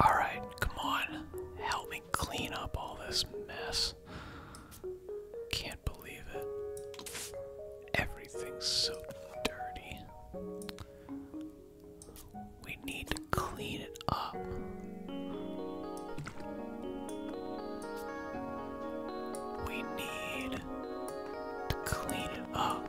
Alright, come on. Help me clean up all this mess. Can't believe it. Everything's so dirty. We need to clean it up. We need to clean it up.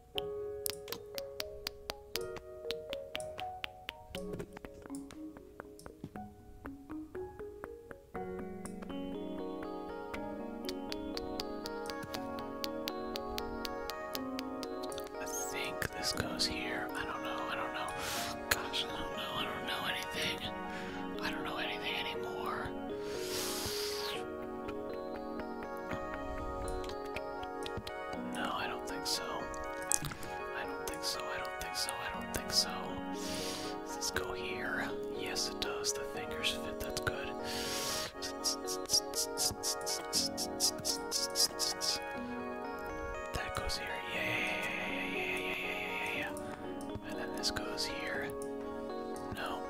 I think this goes here. I don't know. I don't know. Gosh, I don't know. I don't know anything. I don't know anything anymore. No, I don't think so. I don't think so. I don't think so. I don't think so. Does this go here? Yes, it does. The fingers fit. That's good. That goes here. Yeah, yeah, yeah, yeah, yeah, yeah, yeah, yeah, yeah. And then this goes here. No.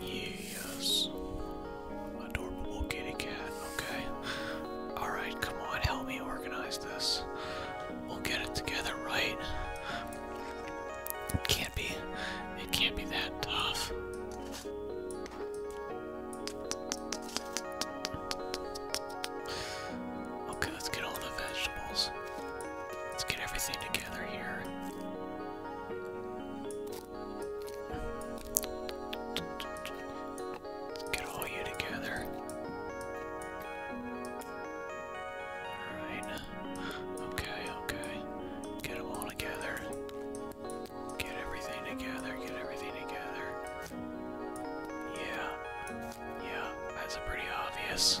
Yes. Adorable kitty cat. Okay. Alright, come on, help me organize this. We'll get it together, right? It can't be it can't be that tough. Okay, let's get all the vegetables. Let's get everything together here get all you together. Alright. Okay, okay. Get them all together. Get everything together. Get everything together. Yeah. Yeah, that's pretty obvious.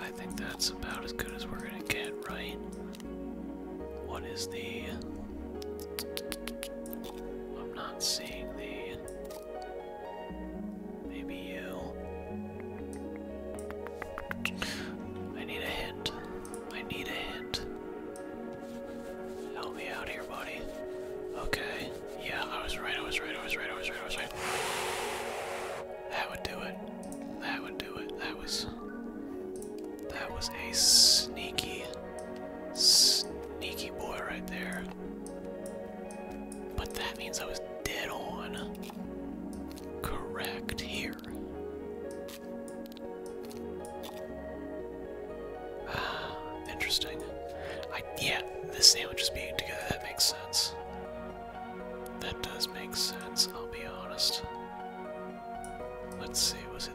I think that's about as good as we're going to get, right? What is the. I'm not seeing the. Maybe you. I need a hint. I need a hint. Help me out here, buddy. Okay. Yeah, I was right, I was right, I was right, I was right, I was right. That would do it. That would do it. That was. That was a sneaky, sneaky boy right there. But that means I was dead on. Correct here. Ah, interesting. I, yeah, the sandwich is being together. That makes sense. That does make sense, I'll be honest. Let's see, was it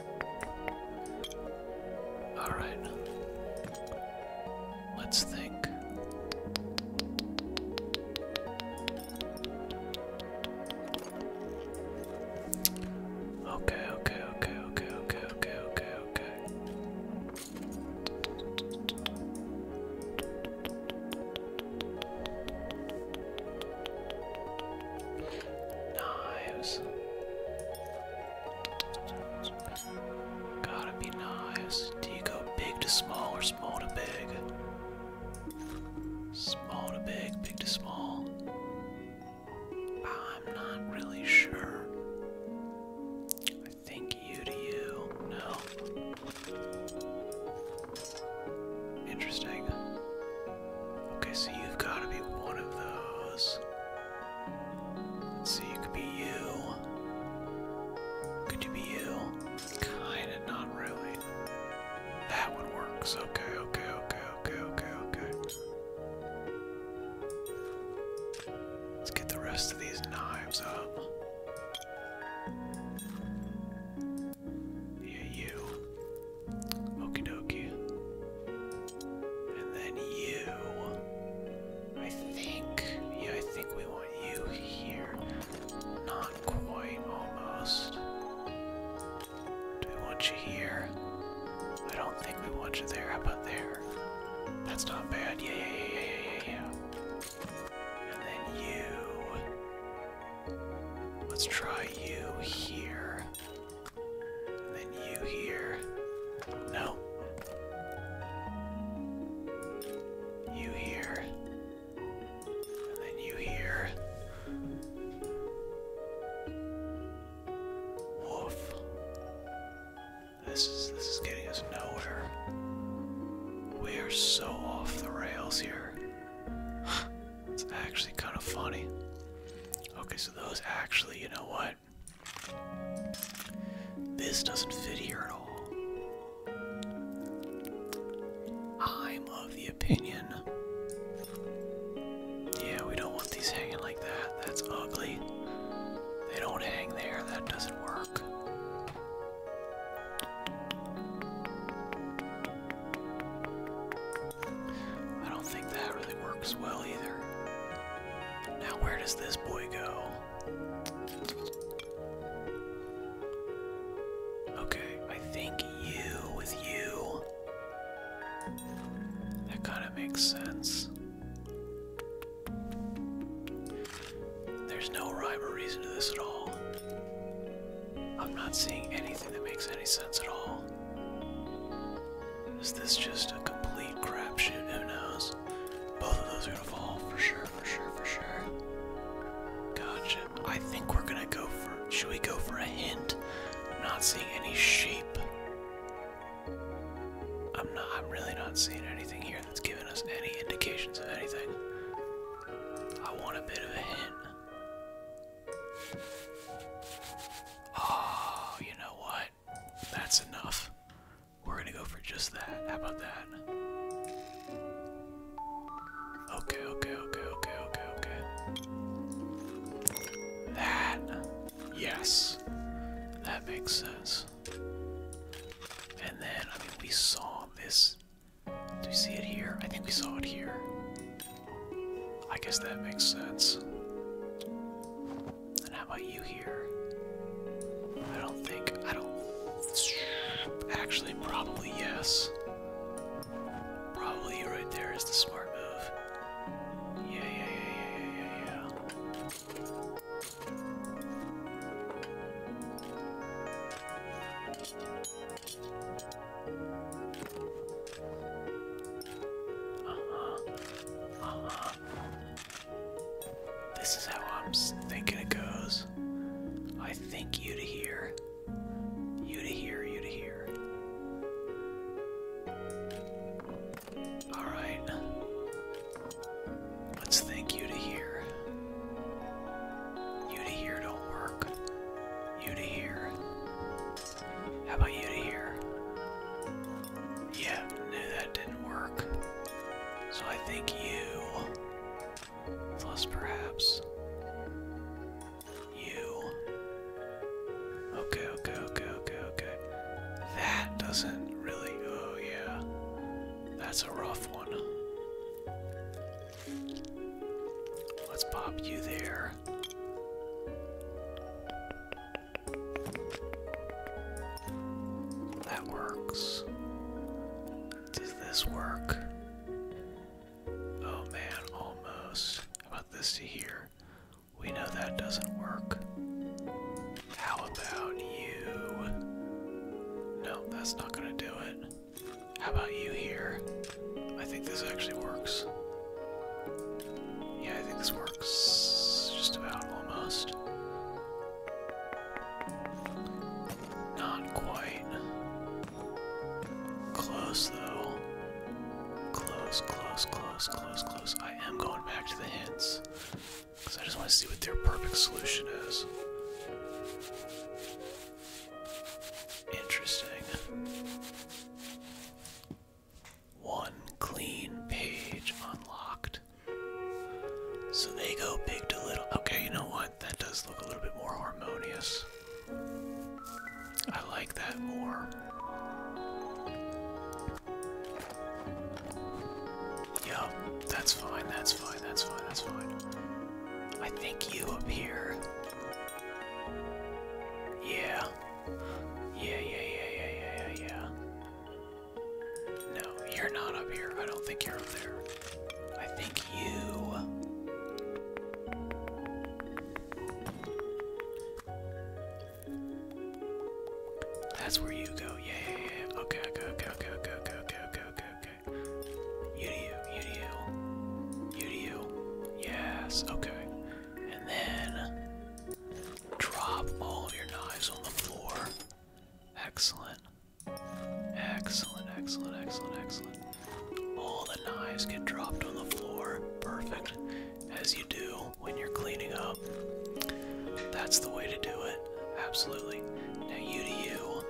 Alright. Let's think. Okay, okay, okay, okay, okay, okay, okay, okay. Knives. Gotta be knives. Do you go big to small or small to big? Small to big, big to small. I'm not really sure. I think you to you. No. Interesting. Okay, so you've got to be one of those. Let's see, you could be you. Could you be you? Kinda, not really. That one works. Okay, okay, okay, okay, okay, okay. Let's get the rest of these knives up. Yeah, you. Okie dokie. And then you. I think. Yeah, I think we want you here. Not quite, almost. Do we want you here? I don't think we want you there. How about there? That's not bad. Yeah, yeah, yeah, yeah, yeah, yeah. And then you. Let's try you here then you here. No. You here. And then you here. Woof. This is this is getting us nowhere. We are so off the rails here. it's actually kind of funny. Okay, so those actually, you know what? This doesn't fit here at all. I'm of the opinion. Yeah, we don't want these hanging like that. That's ugly. They don't hang there. That doesn't work. I don't think that really works well either. Now, where does this boy go? Okay, I think you with you. That kind of makes sense. There's no rhyme or reason to this at all. I'm not seeing anything that makes any sense at all. Is this just a complete crapshoot? Who knows? Both of those are gonna fall for sure, for sure, for sure. Gotcha. I think we're gonna go for. Should we go for a hint? I'm not seeing any shape. I'm not. I'm really not seeing anything here that's giving us any indications of anything. I want a bit of a hint. Oh, you know what? That's enough. We're gonna go for just that. How about that? Okay, okay, okay, okay, okay, okay. That. Yes. That makes sense. And then, I mean, we saw this. Do we see it here? I think we saw it here. I guess that makes sense. And how about you here? I don't think. I don't. Actually, probably yes. Probably you right there is the smart move. Yeah, yeah, yeah, yeah, yeah, yeah, uh-huh. This is how I'm thinking it goes. I think you to here. You to here, you to here. Alright. Let's think you to here. You to here don't work. You to here. How about you to here? Yeah, no, that didn't work. So I think you, plus perhaps you. Okay, okay, okay, okay, okay. That doesn't really. Oh, yeah. That's a rough one. Let's pop you there. That works. Does this work? Oh man, almost. about this here? We know that doesn't work. How about you? No, that's not gonna do it. How about you here? I think this actually works. Yeah, I think this works just about almost. Not quite. Close though. Close, close, close, close, close. I am going back to the hints. Because I just want to see what their perfect solution is. Interesting. One clean page unlocked. So they go big to little. Okay, you know what? That does look a little bit more harmonious. I like that more. Yeah, that's fine, that's fine, that's fine, that's fine. I think you appear yeah. Yeah, yeah, yeah, yeah, yeah, yeah, yeah. No, you're not up here. I don't think you're up there. I think you. That's where you go. Yeah, yeah, yeah. Okay, okay, okay, okay, okay, okay, okay, okay, okay, you do you, you do you. You do you. Yes, okay. And then drop all of your knives on the floor. Excellent. Excellent, excellent, excellent, excellent. All the knives get dropped on the floor. Perfect. As you do when you're cleaning up. That's the way to do it. Absolutely. Now, you to you.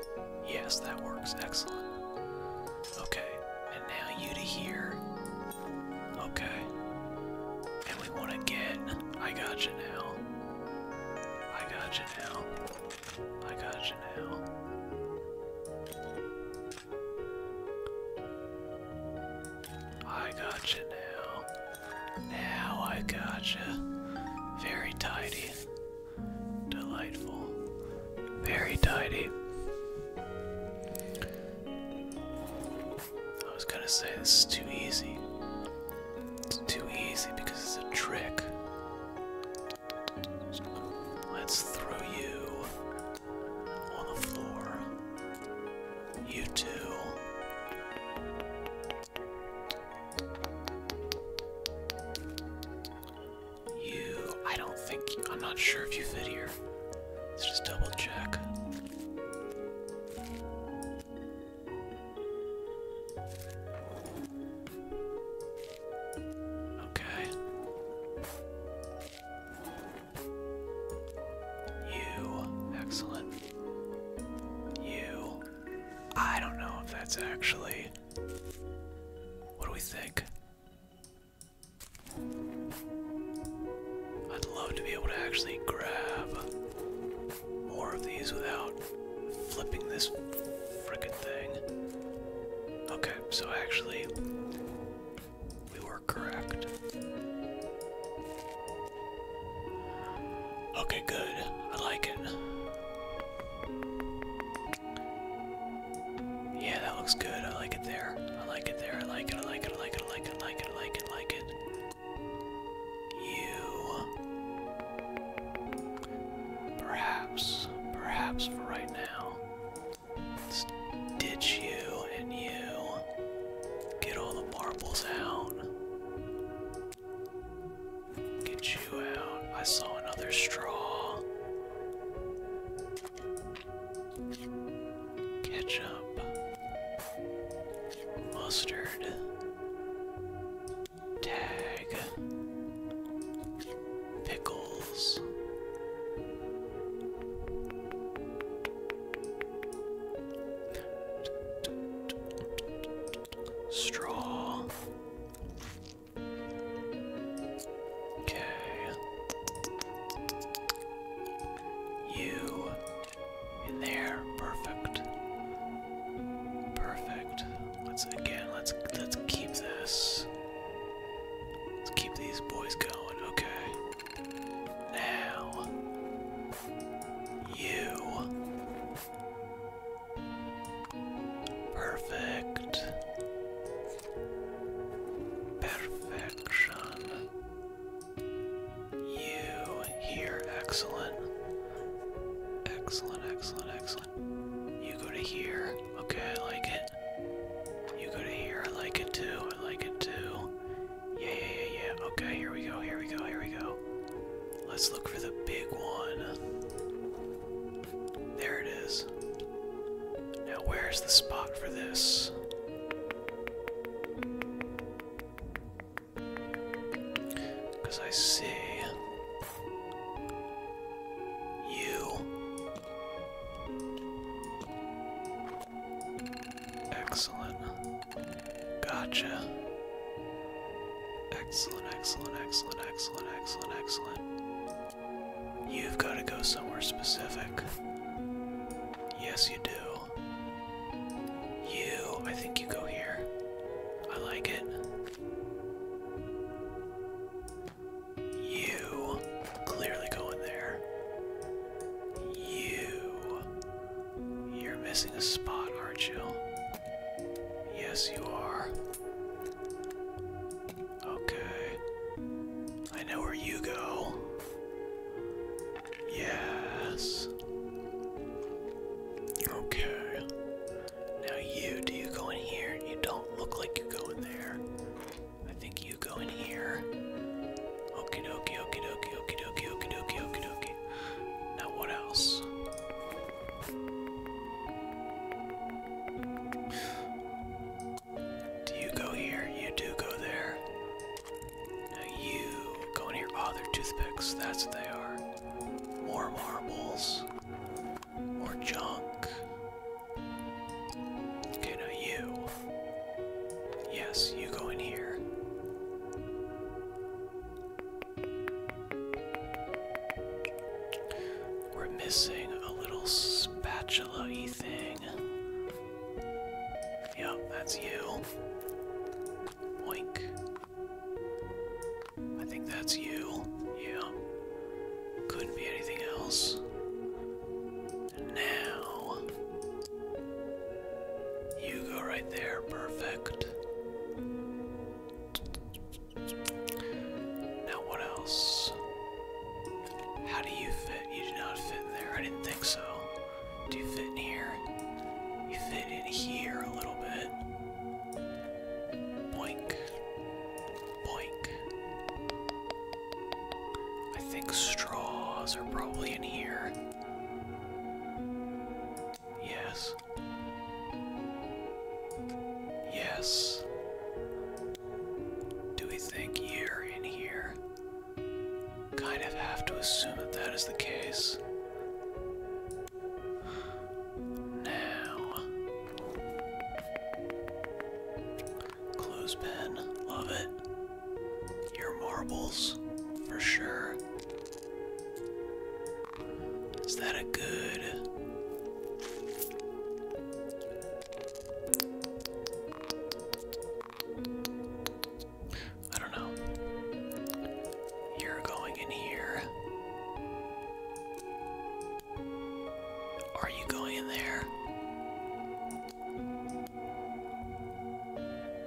Yes, that works. Excellent. Okay, and now you to here. Okay. And we want to get. I got you now. I got you now. I got you now. I got you now. Now I got you. Very tidy. Delightful. Very tidy. I was gonna say this is too easy. It's too easy because it's a trick. Let's throw you on the floor. You too. You, I don't think, I'm not sure if you fit here. Let's just double check. Okay. You, excellent. You, I don't know if that's actually. What do we think? I'd love to be able to actually grab more of these without flipping this frickin' thing. Okay, so actually, we were correct. Okay, good. I like it. Yeah, that looks good. I like it there. I like it there. I like it. I like it. I like it. I like it. I like it. I like it. I like it. You. Perhaps. Perhaps for right now. Let's ditch you and you. Get all the marbles out. Get you out. I saw another straw. Ketchup. Mustard. Tag. Pickles. Straw. Okay. You in there. Perfect. Perfect. Let's again let's let's keep this. Let's keep these boys going, okay. Now you Perfect. Perfection. You here, excellent. Excellent, excellent, excellent. You go to here. Okay, I like it. You go to here. I like it too. I like it too. Yeah, yeah, yeah, yeah. Okay, here we go. Here we go. Here we go. Let's look for the big one. There it is. Now, where's the spot for this? Because I see you. Excellent. Gotcha. Excellent, excellent, excellent, excellent, excellent, excellent. You've got to go somewhere specific. Yes, you do. You, I think you go here. I like it. You clearly go there. You. You're missing a spot, aren't you? Yes, you are. Okay. I know where you go. Yes. Okay. Now you, do go in here? You don't look like you go in there. I think you go in here. Okie dokie, okie dokie, okie dokie, okie dokie, okie dokie. Now what else? Do you go here? You do go there. Now you go in here. Oh, they're toothpicks. That's what they are. More marbles. More junk. Okay, now you. Yes, you go in here. We're missing a little spatula thing. Yep, that's you. Oink. I think that's you. Yeah. Couldn't be anything else. Now. You go right there. Perfect. Now what else? How do you fit? You do not fit there. I didn't think so. Do you fit in here? You fit in here a little bit. Boink. Boink. I think straws are probably in here. Yes. Yes. Do we think year in here? Kind of have to assume that that is the case. Now. Clothespin. Love it. Your marbles, for sure. Is that a good. I don't know. You're going in here. Are you going in there?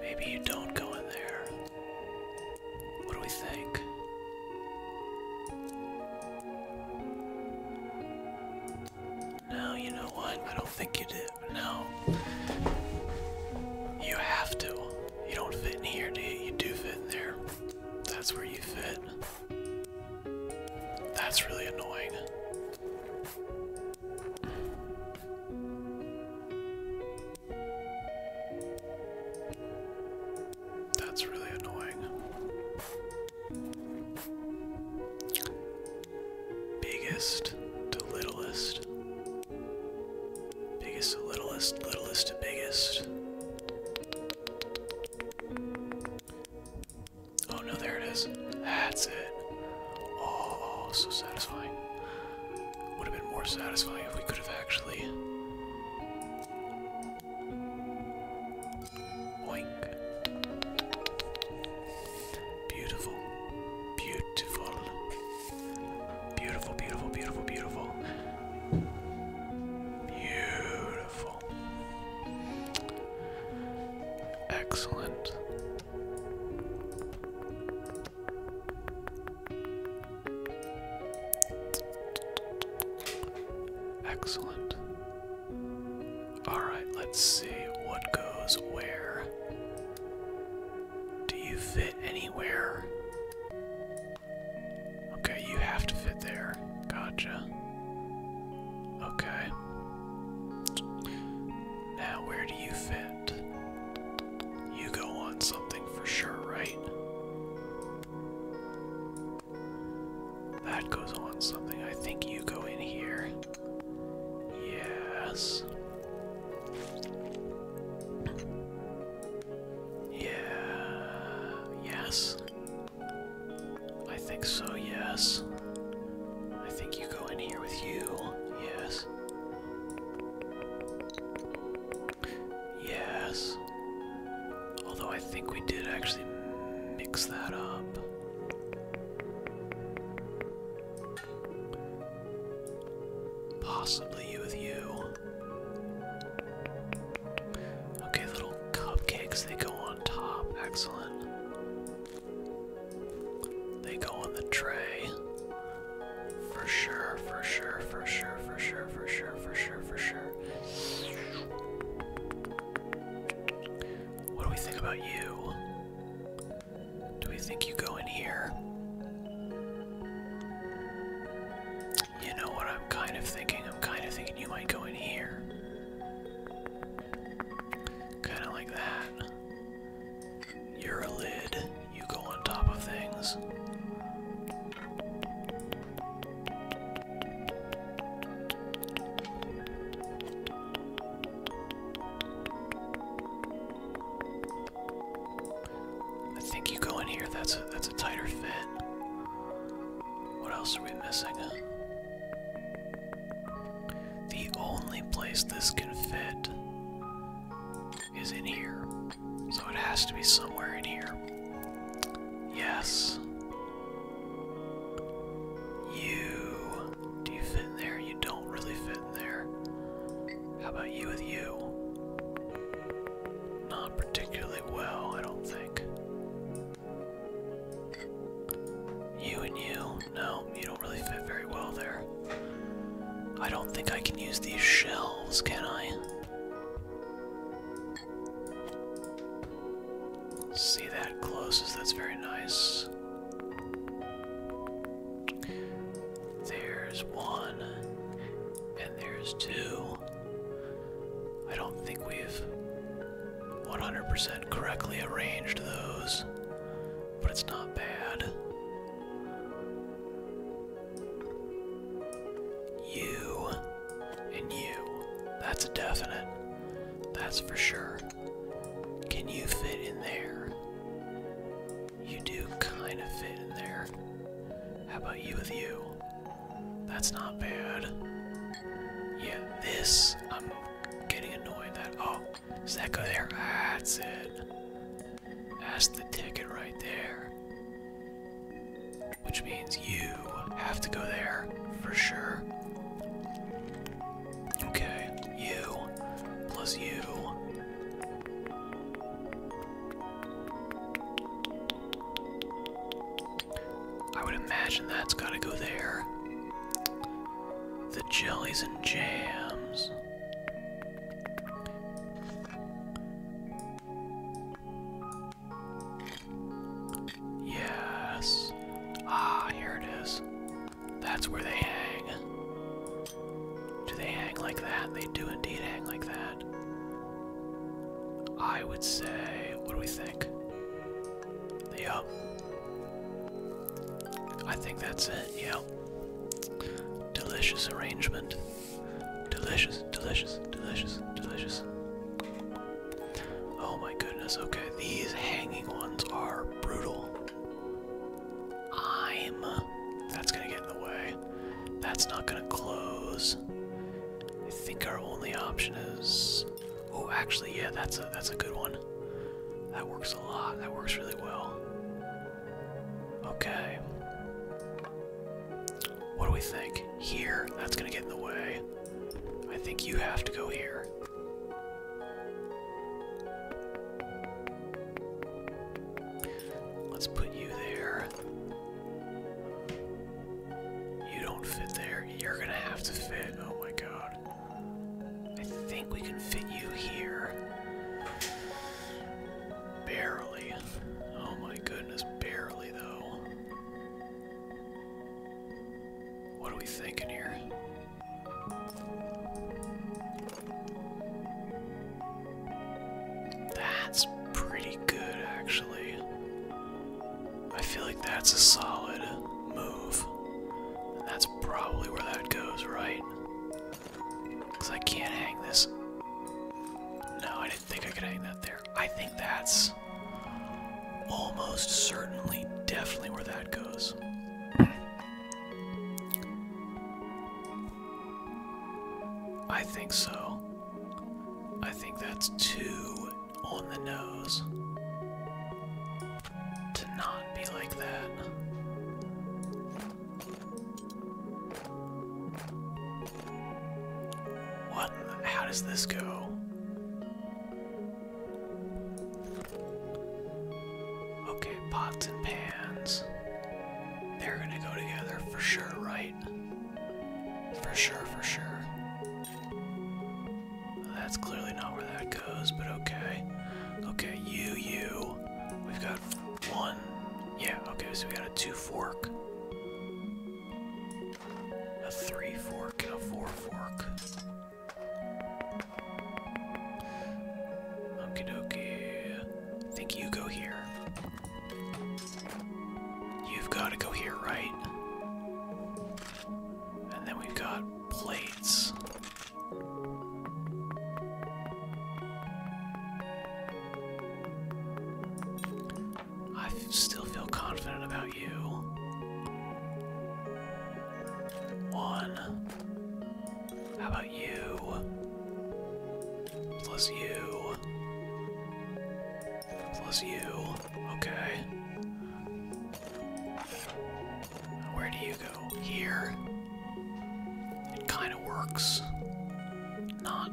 Maybe you don't go in there. What do we think? No, you know what? I don't think you do. No. You have to. You don't fit in here, do you? You do fit in there. That's where you fit. That's really annoying. That's really annoying. Biggest to littlest. Biggest to littlest, littlest to biggest. Oh no, there it is. That's it. Oh, so satisfying. Would have been more satisfying if we could have actually Oink. Beautiful. Beautiful. Beautiful, beautiful, beautiful, beautiful. Excellent. Excellent. Alright, let's see what goes where. Do you fit anywhere? Okay, you have to fit there. Gotcha. Okay. Now, where do you fit? You go on something for sure, right? That goes on something. I think you go in here. Yes. Yeah. Yes. I think so, yes. I think you go in here with you. Yes. Yes. Although I think we did actually mix that up. Possibly with you. Okay, little cupcakes, they go on top. Excellent. They go on the tray. For sure, for sure, for sure, for sure, for sure, for sure, for sure. What do we think about you? Do we think you go in here? You know what I'm kind of thinking? I'm kind of thinking you might go in here. Kind of like that. You're a lid. You go on top of things. I think you go in here. That's that's a tighter fit. What else are we missing? The only place this can fit is in here. So it has to be somewhere in here. Yes. You. Do you fit in there? You don't really fit in there. How about you with you? Not particularly well, I don't think. You and you? No, you don't really fit very well there. I don't think I can use these shelves, can I? See that closes, that's very nice. There's one, and there's two. I don't think we've 100% correctly arranged those, but it's not bad. You and you. That's a definite. That's for sure. Can you fit in there? You do kind of fit in there. How about you with you? That's not bad. Yeah, this, I'm getting annoyed that, oh, is that go there? That's it. That's the ticket right there. Which means you have to go there for sure. Okay, you plus you. I would imagine that's gotta go there. The jellies and jams. Yes. Ah, here it is. That's where they hang. Do they hang like that? They do indeed hang like that. I would say, what do we think? Yep. I think that's it, yep. Delicious arrangement. Delicious, delicious, delicious, delicious. Oh my goodness, okay, these hanging ones are brutal. I'm. That's gonna get in the way. That's not gonna close. I think our only option is. Oh, actually, yeah, that's a that's a good one. That works a lot. That works really well. Okay. What do we think? Here? That's gonna get in the way. I think you have to go here. Let's put you there. You don't fit there. You're gonna have to fit. Oh my god. I think we can fit you here. Barely. Oh my goodness, barely though. What are we thinking here? That's pretty good, actually. I feel like that's a solid move. that's probably where that goes, right? Because I can't hang this. No, I didn't think I could hang that there. I think that's almost certainly, definitely where that goes. I think so. I think that's too on the nose to not be like that. What? How does this go? Okay, pots and pans. They're gonna go together for sure, right? For sure, for sure. That's clearly not where that goes, but okay. Okay, you, you. We've got one. Yeah, okay, so we got a two fork, a three fork, and a four fork. Okie dokie. I think you go here. You've got to go here, right? And then we've got plates. I still feel confident about you. One. How about you? Plus you. Plus you. Okay. Where do you go? Here. It kind of works. Not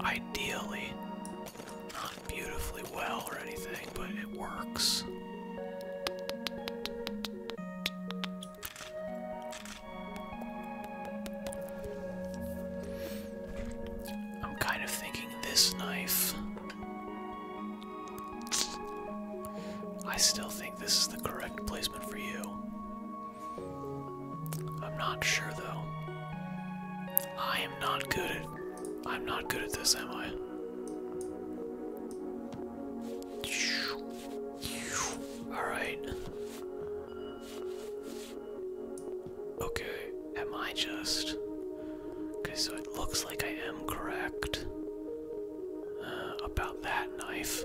ideally, not beautifully well or anything, but it works. I'm kind of thinking this knife. I still think this is the correct place for you. I'm not sure though. I am not good at I'm not good at this, am I? Alright. Okay, am I just. Okay, so it looks like I am correct uh, about that knife.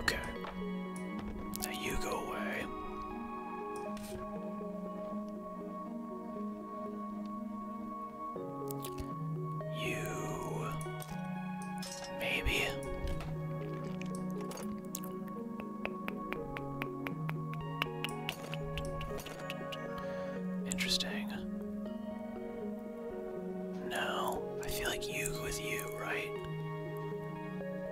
Okay. Now you go away. You maybe Interesting. No, I feel like you with you, right?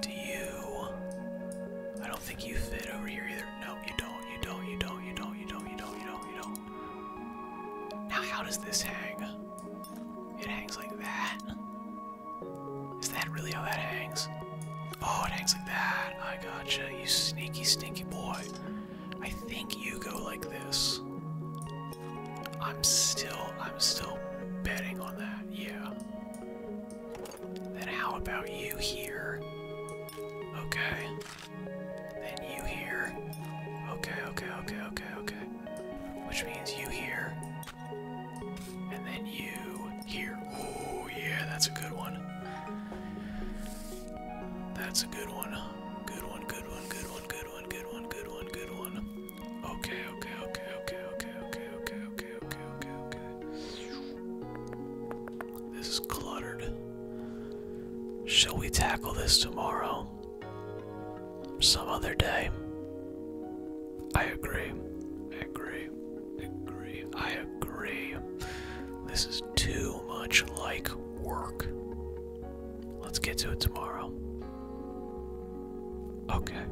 Do you? I don't think you fit over here either. No, you don't. You don't. You don't. You don't. You don't. You don't. You don't. You don't. Now, how does this hang? It hangs like that. Is that really how that hangs? Oh, it hangs like that. I gotcha. You sneaky, stinky boy. I think you go like this. I'm still, I'm still betting on that. Yeah. Then how about you here? Okay. Then you here. Okay, okay, okay, okay, okay. Which means you here. And then you here. Oh, yeah, that's a good one. That's a good one. Good one, good one, good one, good one, good one, good one, Okay, okay, okay, okay, okay, okay, okay, okay, okay, okay, This is cluttered. Shall we tackle this tomorrow? Some other day. I agree. I agree. I agree. I agree. This is too much like work. Let's get to it tomorrow. Okay.